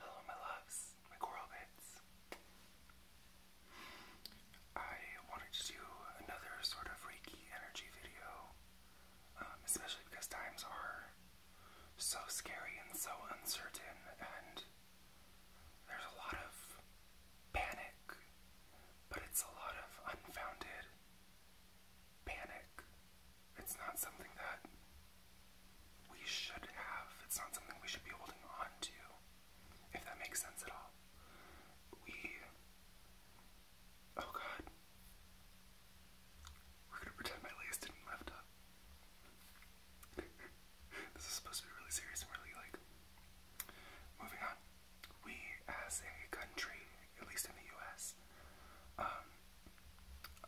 Hello, my loves, my coral bits. I wanted to do another sort of Reiki energy video, um, especially because times are so scary and so uncertain, and there's a lot of panic, but it's a lot of unfounded panic. It's not something that we should have. It's not something we should be holding on to, if that makes sense at all. We. Oh god. We're gonna pretend my legs didn't up. this is supposed to be really serious and really like. Moving on. We, as a country, at least in the US, um,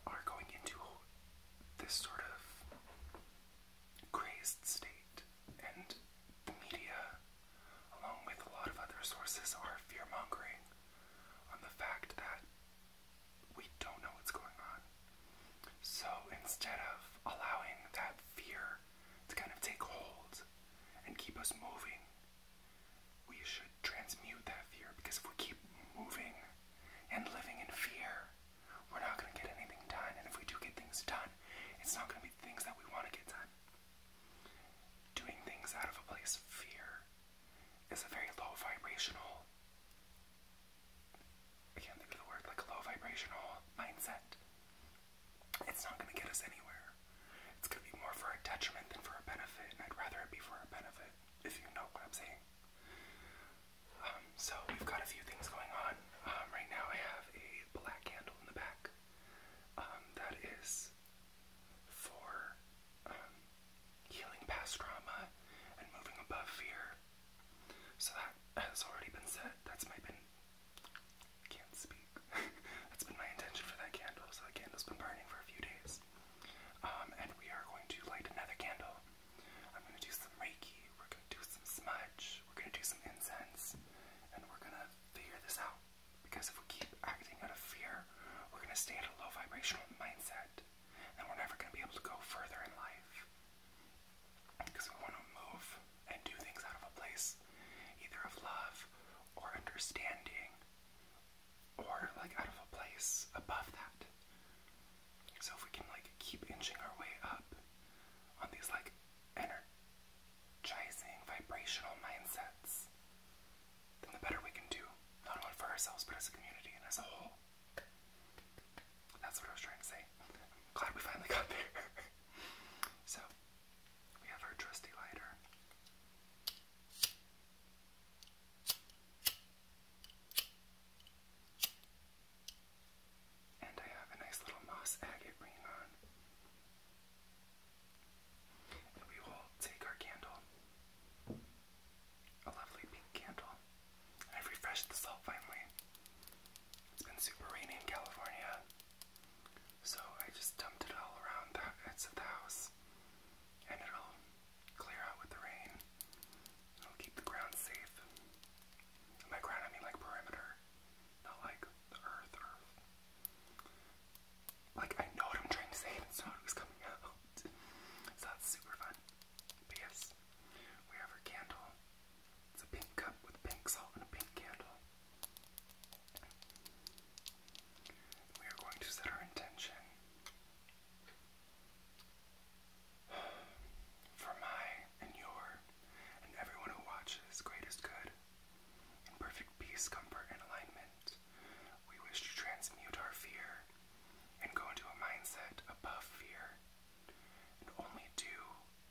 are going into this sort of crazed state, and the media, along with a lot of other sources, are fear on the fact that we don't know what's going on. So instead of allowing that fear to kind of take hold and keep us moving, we should transmute that fear because if we keep moving and living in fear, we're not going to get anything done. And if we do get things done, it's not going to be things that we want to get done. Doing things out of a place of fear is a very low vibrational, I can't think of the word, like a low vibrational mindset. It's not going to get us anywhere. It's going to be more for a detriment than for a benefit, and I'd rather it be for a benefit if you know what I'm saying. Um, so we've got a few things going on. Um, right now I have a black candle in the back. Um, that is for healing past trauma and moving above fear. So that has already been set. That's my been can't speak. That's been my intention for that candle. So the candle's been burning for a few days. Um, and we are going to light another candle. I'm going to do some Reiki, we're going to do some smudge, we're going to do some incense, and we're going to figure this out. Because if we keep acting out of fear, we're going to stay at a low vibrational mindset, and we're never going to be able to go further in life. Because we want to move and do things out of a place either of love or understanding or like out of a place above that. So if we can like keep inching our way up on these like energizing vibrational mindsets, then the better we can do, not only for ourselves but as a community and as a whole. That's what I was trying to say. glad we finally got there. so we have our trusty lighter. And I have a nice little moss agate ring on. we will take our candle, a lovely pink candle. I've refreshed the salt finally. It's been super rainy in California, so I just dumped it all around the heads of the house. And it'll clear out with the rain. keep the ground safe. And ground, I mean like perimeter, not like the earth, earth. Like, I know what I'm trying to say, it's not coming out. So that's super fun. But yes, we have our candle. It's a pink cup with pink salt and a pink candle we are going to set our intention for my and your and everyone who watches greatest good. and perfect peace, comfort, and alignment, we wish to transmute our fear and go into a mindset above fear and only do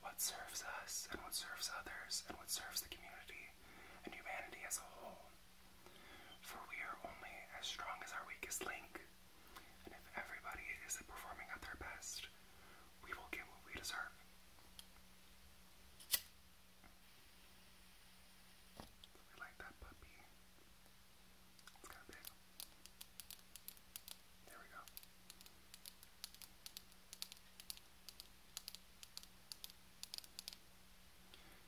what serves us and what serves others and what serves the community and humanity as a whole. For we are only as strong as our weakest link, and if everybody is performing at their best, we will get what we deserve. So like that puppy. It's kind of big. There we go.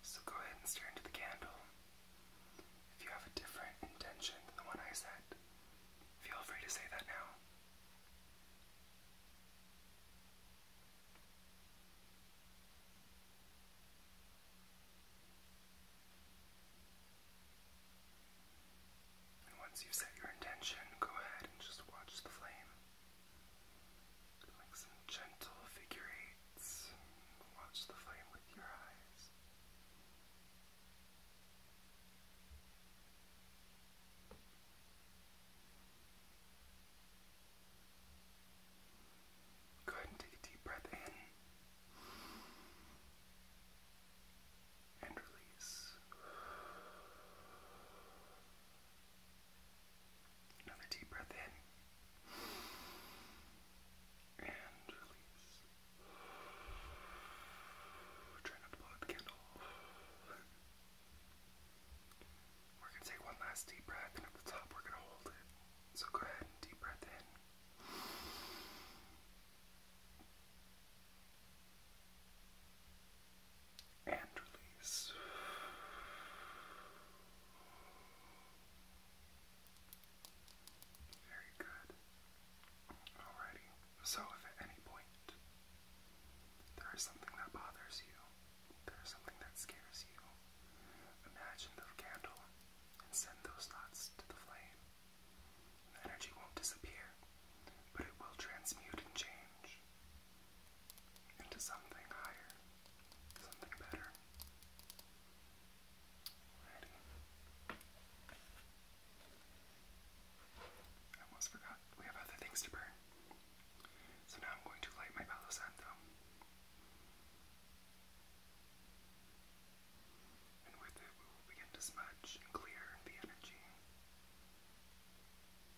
So go ahead and stare into the candle. If you have a different intention than the one I said, feel free to say that now. And once you set your intention, go ahead and just watch the flame. Make some gentle figure eights. Watch the flame with your eyes. Go and take a deep breath in and release. Another deep breath in. And release. Try not to blow the candle. We're going to take one last deep breath, and at the top, we're going to hold it. So go ahead deep breath in and release. Very good. Alrighty. So, if at any point there is something that bothers you, there is something that scares you, imagine the candle and send those thoughts to the flame. energy won't disappear, but it will transmute and change into something higher, something better. Ready? I almost forgot we have other things to burn. So now I'm going to light my Palo Santo. And with it, we will begin to smudge and clear the energy.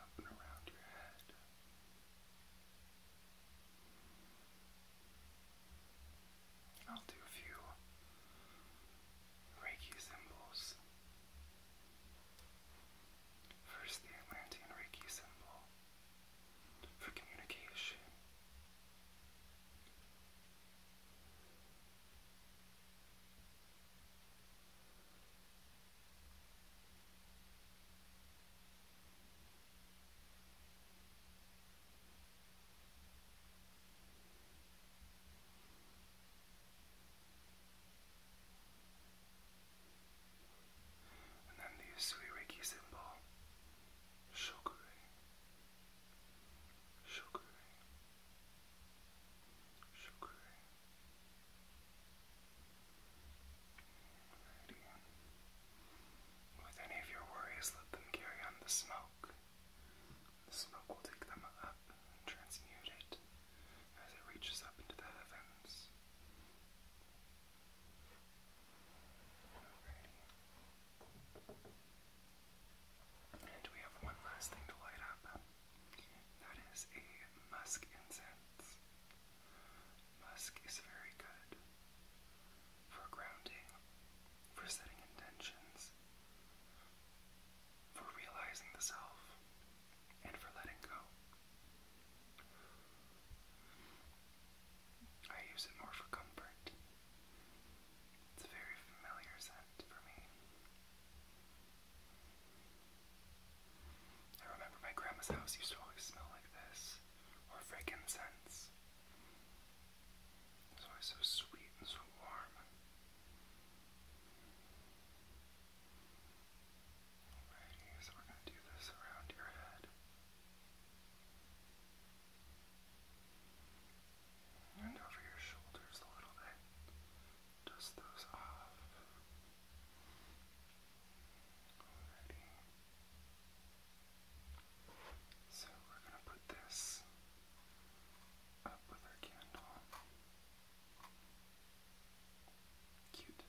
up and around your head. I'll do a few Reiki symbols. First, the Atlantean Reiki symbol for communication. And then the Usui symbol, Shokure, Shokure. With any of your worries, let them carry on the smoke. The smoke will take them up and transmute it as it reaches up into the heavens. And we have one last thing to light up. That is a musk incense. Musk is very good for grounding, for setting intentions, for realizing the self, and for letting go. I use it more for comfort it's a very familiar scent for me. I remember my grandma's house used to always smell like this, or frankincense. It's always so sweet and so warm. Alrighty, so we're gonna do this around your head. And over your shoulders a little bit. Dust those off. Alrighty. So we're going to put this up with our candle. Cute.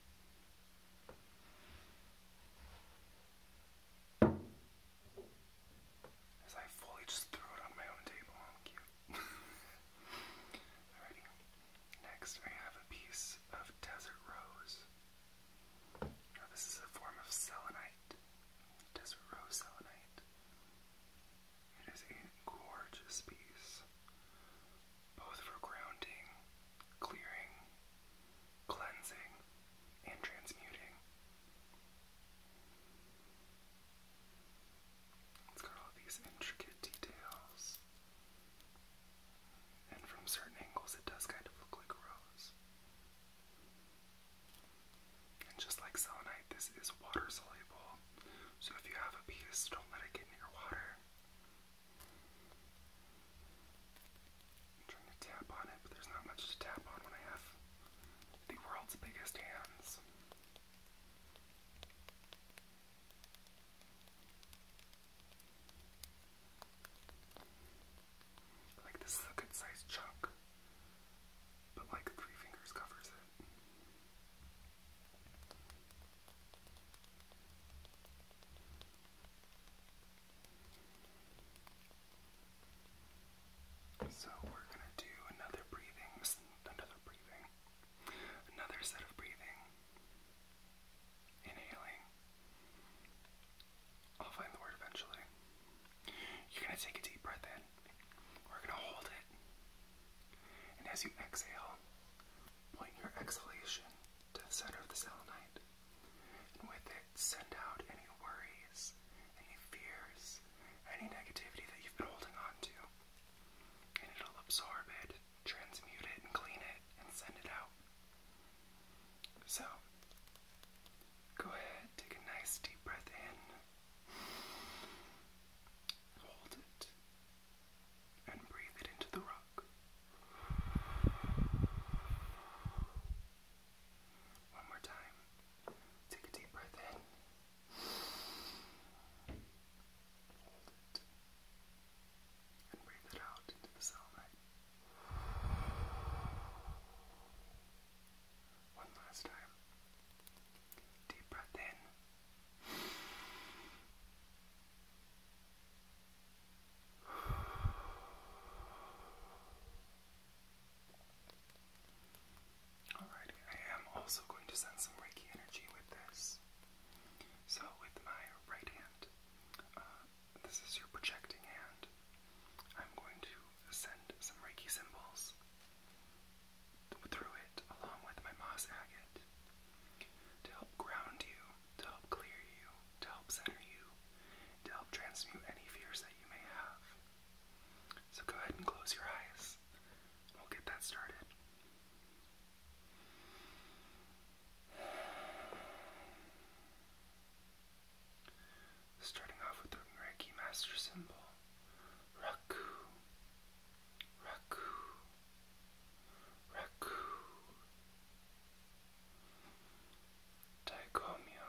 As I fully just threw it on my own table. Oh, Next, I have a piece of desert rose. Now, this is a form of selenite. Desert rose selenite. It is a gorgeous piece, both for grounding, clearing, cleansing, and transmuting. It's got all these intricate details. And from certain angles, it does kind of look like a rose. And just like selenite, this is water soluble. So if you have a piece, don't let it get in your water. trying to tap on it, but there's not much to tap on when I have the world's biggest hands. Like, this is a good sized chunk, but like, three fingers covers it. So we're gonna do another breathing, another breathing, another set of breathing. Inhaling. I'll find the word eventually. You're gonna take a deep breath in. We're gonna hold it. And as you exhale, point your exhalation to the center of the selenite. And with it, send out any worries, any fears, any negativity that you've been holding on to. And it'll absorb it, transmute it, and clean it, and send it out. So, go ahead, take a nice deep breath in, hold it, and breathe it into the rock. One more time. Take a deep breath in. Hold it. And breathe it out into the cellmate. One last time. Deep breath in. Alrighty, I am also going to send some Reiki energy with this. So, with my right hand, uh, this is your projecting hand, I'm going to send some Reiki symbols through it along with my moss agate to help ground you, to help clear you, to help center you, to help transmute any fears that you may have. So go ahead and close your eyes. We'll get that started. Starting off with the Reiki Master Symbol Raku, Raku, Raku, Taikomyo,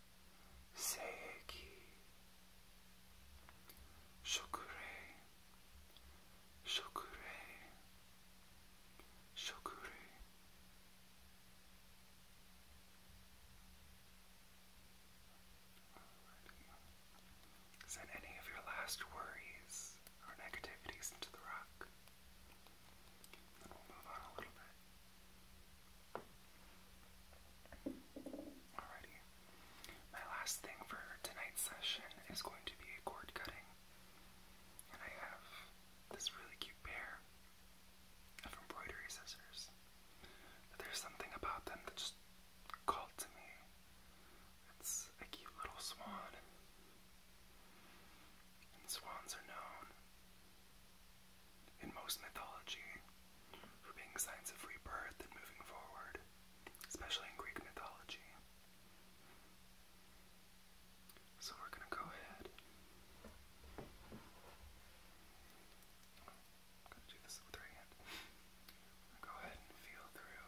Seiki Shokurei Shokurei Shokurei Send any of your last worries or negativities into the rock. Then we'll move on a little bit. Alrighty. My last thing for tonight's session is going to be cord cutting. And I have this really cute pair of embroidery scissors. But there's something about them that just called to me. It's a cute little swan. And swans are known in most mythology for being signs of rebirth and moving forward, especially in Greek mythology. So we're going to go ahead. going to do this with right hand. Go ahead and feel through.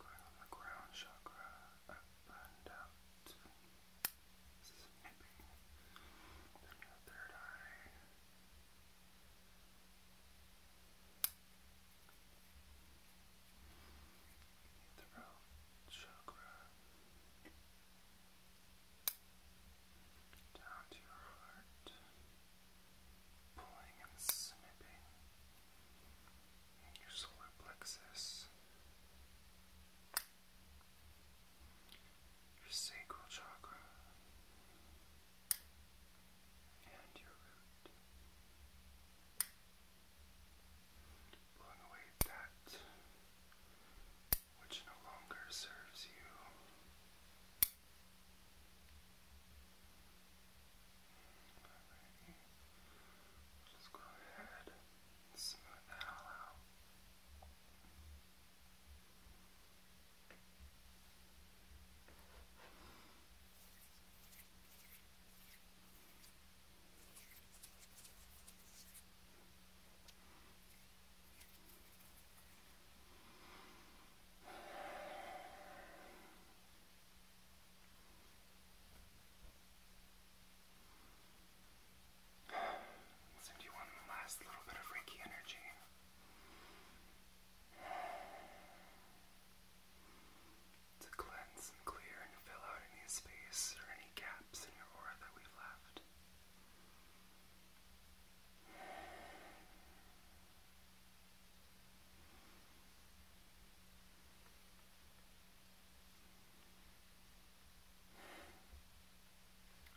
Going on the ground chakra up and out. This is nipping. Then your third eye. Your throat chakra down to your heart, pulling and snipping your solar plexus, your sacral chakra, and your root. Blowing away that which no longer serves you. Alrighty. go ahead smooth that out. Send you one last little bit of Reiki energy to cleanse and clear and fill out any space or any gaps in your aura that we've left.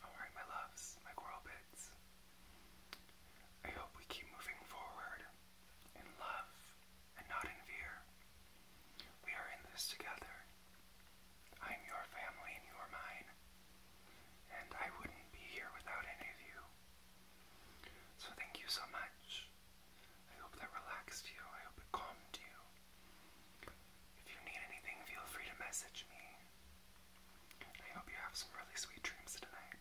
All right, my loves, my coral bits. I hope we keep moving forward in love and not in fear. We are in this together. I am your family and you are mine. And I wouldn't be here without any of you. So thank you so much. I hope that relaxed you. I hope it calmed you. If you need anything, feel free to message me. I hope you have some really sweet dreams tonight.